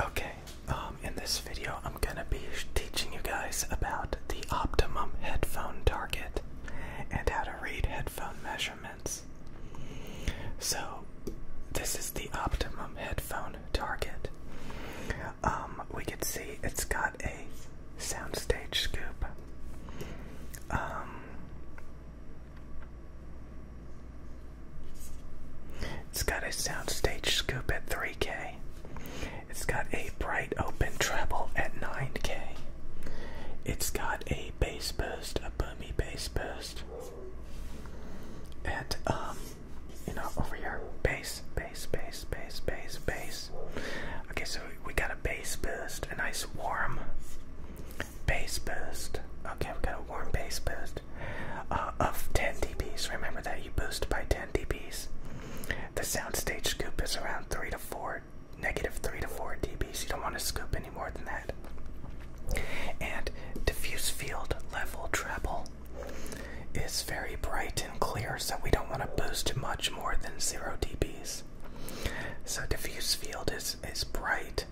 Okay, um, in this video, I'm gonna be teaching you guys about the optimum headphone target and how to read headphone measurements. So, this is the optimum headphone target. Um, we can see it's got a soundstage scoop. Um, it's got a soundstage scoop at 3K. It's got a bright open treble at 9K. It's got a bass boost, a boomy bass boost. At, um, you know, over here. Bass, bass, bass, bass, bass, bass. Okay, so we got a bass boost, a nice warm Base boost. Okay, we got a warm base boost uh, of 10 dBs. Remember that you boost by 10 dBs. The soundstage scoop is around 3 to 4, negative 3 to 4 dBs. You don't want to scoop any more than that. And diffuse field level treble is very bright and clear, so we don't want to boost much more than 0 dBs. So diffuse field is, is bright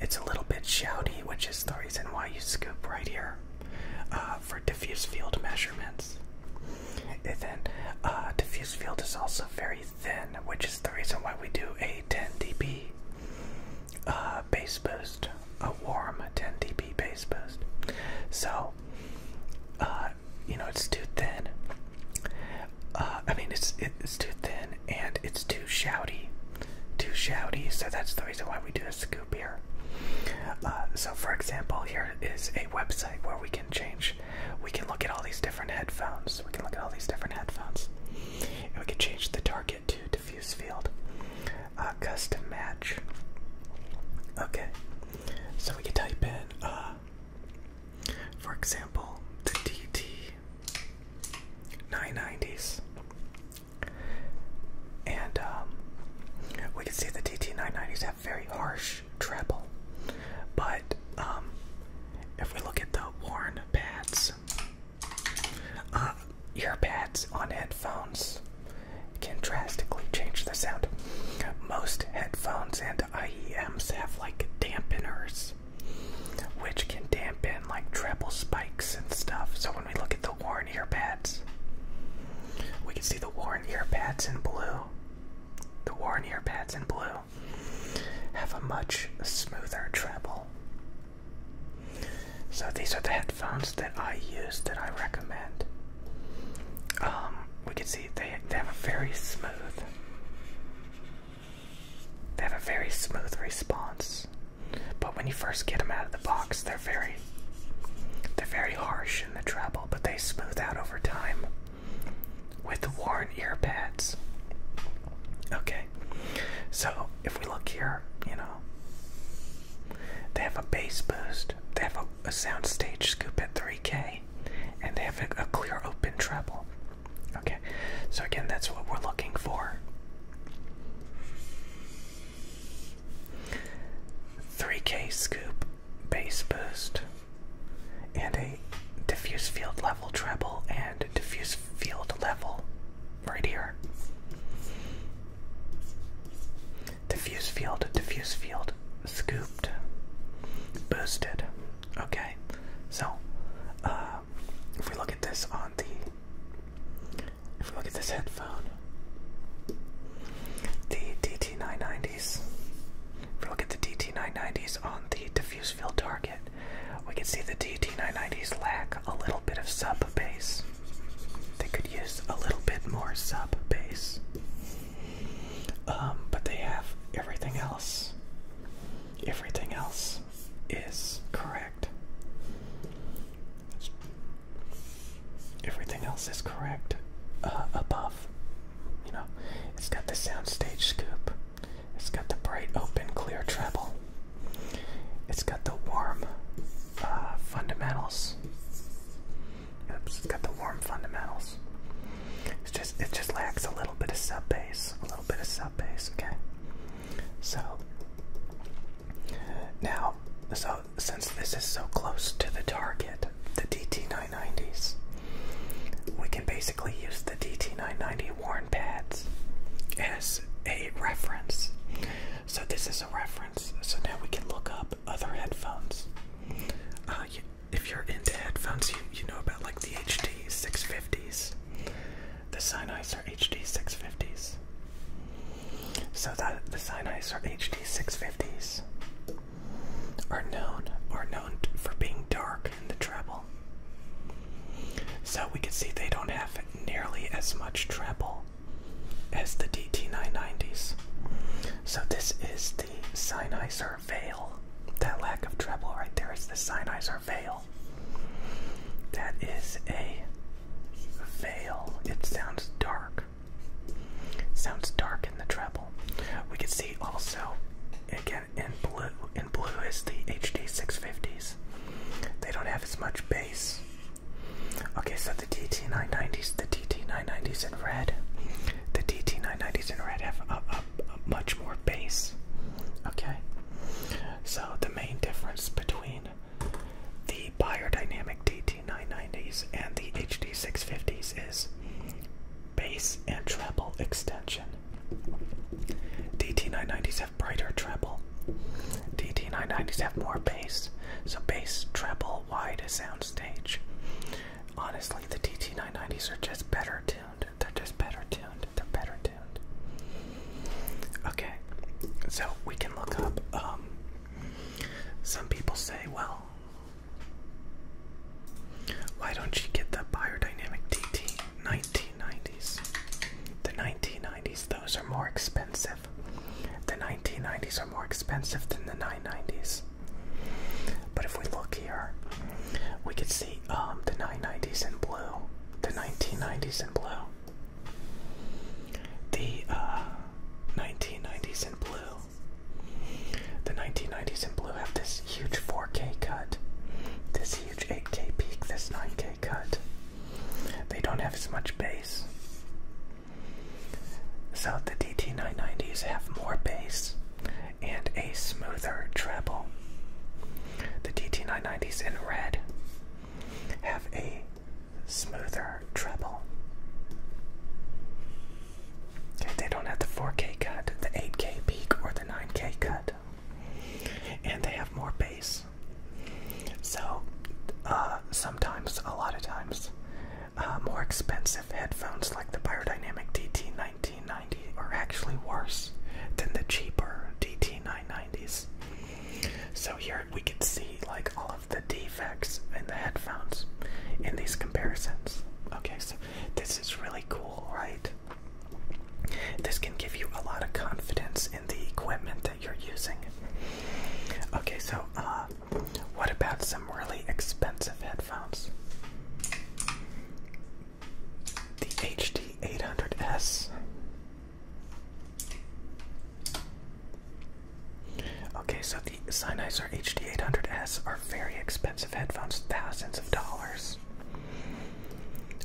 it's a little bit shouty, which is the reason why you scoop right here uh, for diffuse field measurements. And then uh, diffuse field is also very thin, which is the reason why we do a 10 dB uh, base bass boost, a warm 10 dB base boost. So, you know, it's too thin. Uh, I mean, it's it's too thin and it's too shouty, too shouty. So that's the reason why we do a scoop here. Uh, so, for example, here is a website where we can change. We can look at all these different headphones. We can look at all these different headphones, we can change the target to diffuse field, uh, custom match. Okay, so we can type in. For example, the DT 990s. And um, we can see the DT 990s have very harsh treble. But um, if we look at the worn pads, uh, ear pads on headphones can drastically change the sound. Most headphones and IEMs have like dampeners which can dampen like treble spikes and stuff. So when we look at the worn earpads, we can see the worn earpads in blue. The worn earpads in blue have a much smoother treble. So these are the headphones that I use that I recommend. Um, we can see they, they have a very smooth they have a very smooth response, but when you first get them out of the box, they're very they're very harsh in the treble, but they smooth out over time with worn ear pads. Okay, so if we look here, you know, they have a bass boost, they have a soundstage scoop at 3K, and they have a, a clear open treble. Okay, so again, that's what we're looking for. Three K scoop, bass boost, and a diffuse field level treble and diffuse field level right here. Diffuse field, diffuse field, scooped, boosted. Okay, so uh, if we look at this on the, if we look at this headphone, the DT990s, if we look at the DT990s on the diffuse field target, we can see the DT990s lack a little bit of sub bass. They could use a little bit more sub bass. Um, but they have everything else. Everything else is correct. Everything else is correct uh, above. You know, it's got the soundstage scoop. It's got the bright, open, clear treble. It's got the warm uh, fundamentals. It's got the warm fundamentals. It's just it just lacks a little bit of sub bass, a little bit of sub bass. Okay. So now, so since this is so close to the target, the DT990s, we can basically use the DT990 worn pads as a reference. So this is a reference. So now we can look up other headphones. Uh, if you're into headphones, you, you know about like the HD 650s, the Sennheiser HD 650s. So that the Sennheiser HD 650s are known are known for being dark in the treble. So we can see they don't have nearly as much treble as the DT990s. So this is the Sennheiser Veil. That lack of treble right there is the Sennheiser Veil. That is a veil. It sounds dark. Sounds dark in the treble. We can see also again in blue in blue is the HD 650s. They don't have as much bass Okay, so the DT990s, the DT990s in red, the DT990s in red have a, much more bass. Okay, so the main difference between the biodynamic DT990s and the HD650s is bass and treble extension. DT990s have brighter treble, DT990s have more bass, so bass, treble, wide soundstage. Honestly, the DT990s are just better tuned. They're just better tuned. They're better tuned. Okay, so we can look up. Um, some people say, well, why don't you get the Biodynamic DT 1990s? The 1990s, those are more expensive. The 1990s are more expensive than the 990s. But if we look here, we could see um, the 990s in blue, the 1990s in blue, the 1990s uh, in blue. The 1990s in blue have this huge 4K cut, this huge 8K peak, this 9K cut. They don't have as much base. So the DT990s have more bass and a smoother treble. The DT990s in red have a smoother treble. they don't have the 4K cut, the 8K peak, or the 9K cut. And they have more bass. So, uh, sometimes, a lot of times, uh, more expensive headphones like the Biodynamic DT1990 are actually worse than the cheaper DT990s. So, here we can see like all of the defects in the headphones in these comparisons. Okay, so this is really cool, right? This can give you a lot of confidence in the equipment that you're using. Okay, so uh, what about some really expensive headphones? The HD800S. Okay, so the Sennheiser HD800S are very expensive headphones, thousands of dollars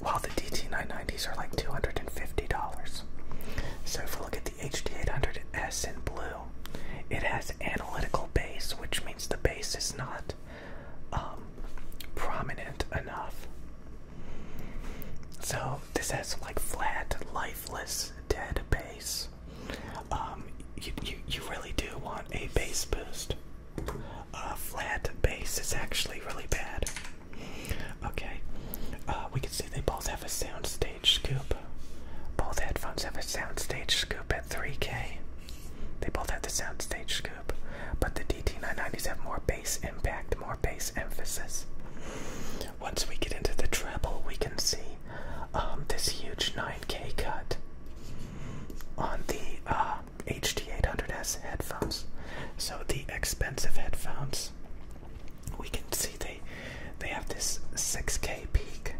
while the DT990s are like $250. So if we look at the HD800S in blue, it has analytical base, which means the base is not um, prominent enough. So this has like flat, lifeless, dead base. Um, you, really do want a bass boost. A uh, flat bass is actually really bad. Okay, uh, we can see they both have a soundstage scoop. Both headphones have a soundstage scoop at 3K. They both have the soundstage scoop, but the DT990s have more bass impact, more bass emphasis. Once we get into the treble, we can see um, this huge 9K cut on the uh, HD HT800S headphones. So the expensive headphones, we can see they they have this 6K peak,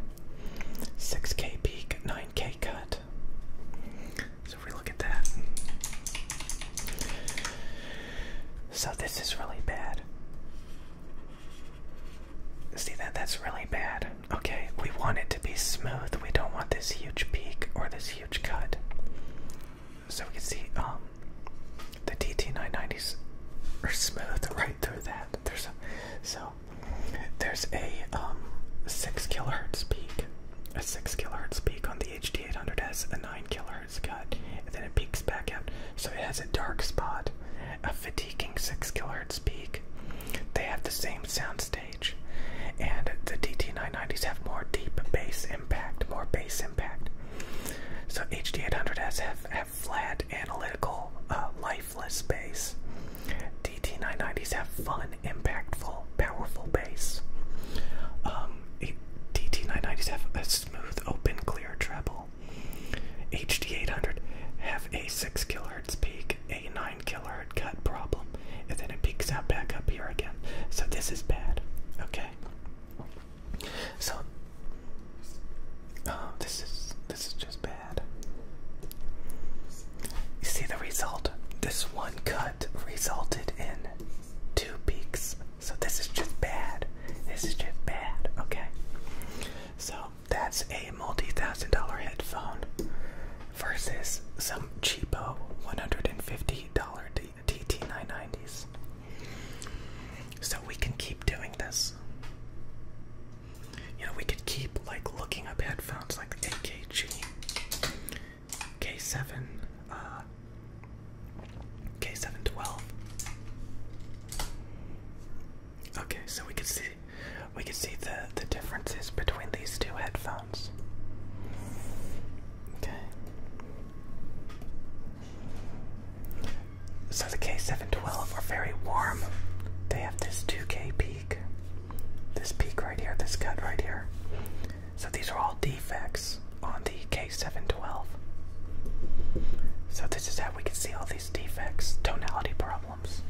6K peak, 9K cut. So we look at that, so this is really bad. See that? That's really bad. Okay, we want it to be smooth. We don't want this huge peak or this huge cut so we can see um, the dt 990s are smooth right through that. There's a, so there's a um, six kilohertz peak, a six kilohertz peak on the hd 800s a nine kilohertz cut, and then it peaks back out. So it has a dark spot, a fatiguing six kilohertz peak. They have the same sound stage. And the DT990s have more deep bass impact, more bass impact. So HD800s have, have flat, analytical, uh, lifeless bass. DT990s have fun, impactful, powerful bass. Um, DT990s have a smooth, open, clear treble. HD800 have a 6 kilohertz peak, a 9 nine cut problem, and then it peaks out back up here again. So this is bad. Okay. So oh, this is this is just bad. You see the result. This one cut resulted in two peaks. So this is just bad. This is just bad. Okay. So that's a multi-thousand dollar headphone versus some cheapo $150 DT990s. So we can keep doing this. You know, we could keep like looking up headphones like the AKG, K7, uh, K712. Okay, so we can see we can see the the differences between these two headphones. Okay. So the K712 are very warm. They have this 2K peak. This peak right here, this cut right here. So these are all defects on the K712. So this is how we can see all these defects, tonality problems.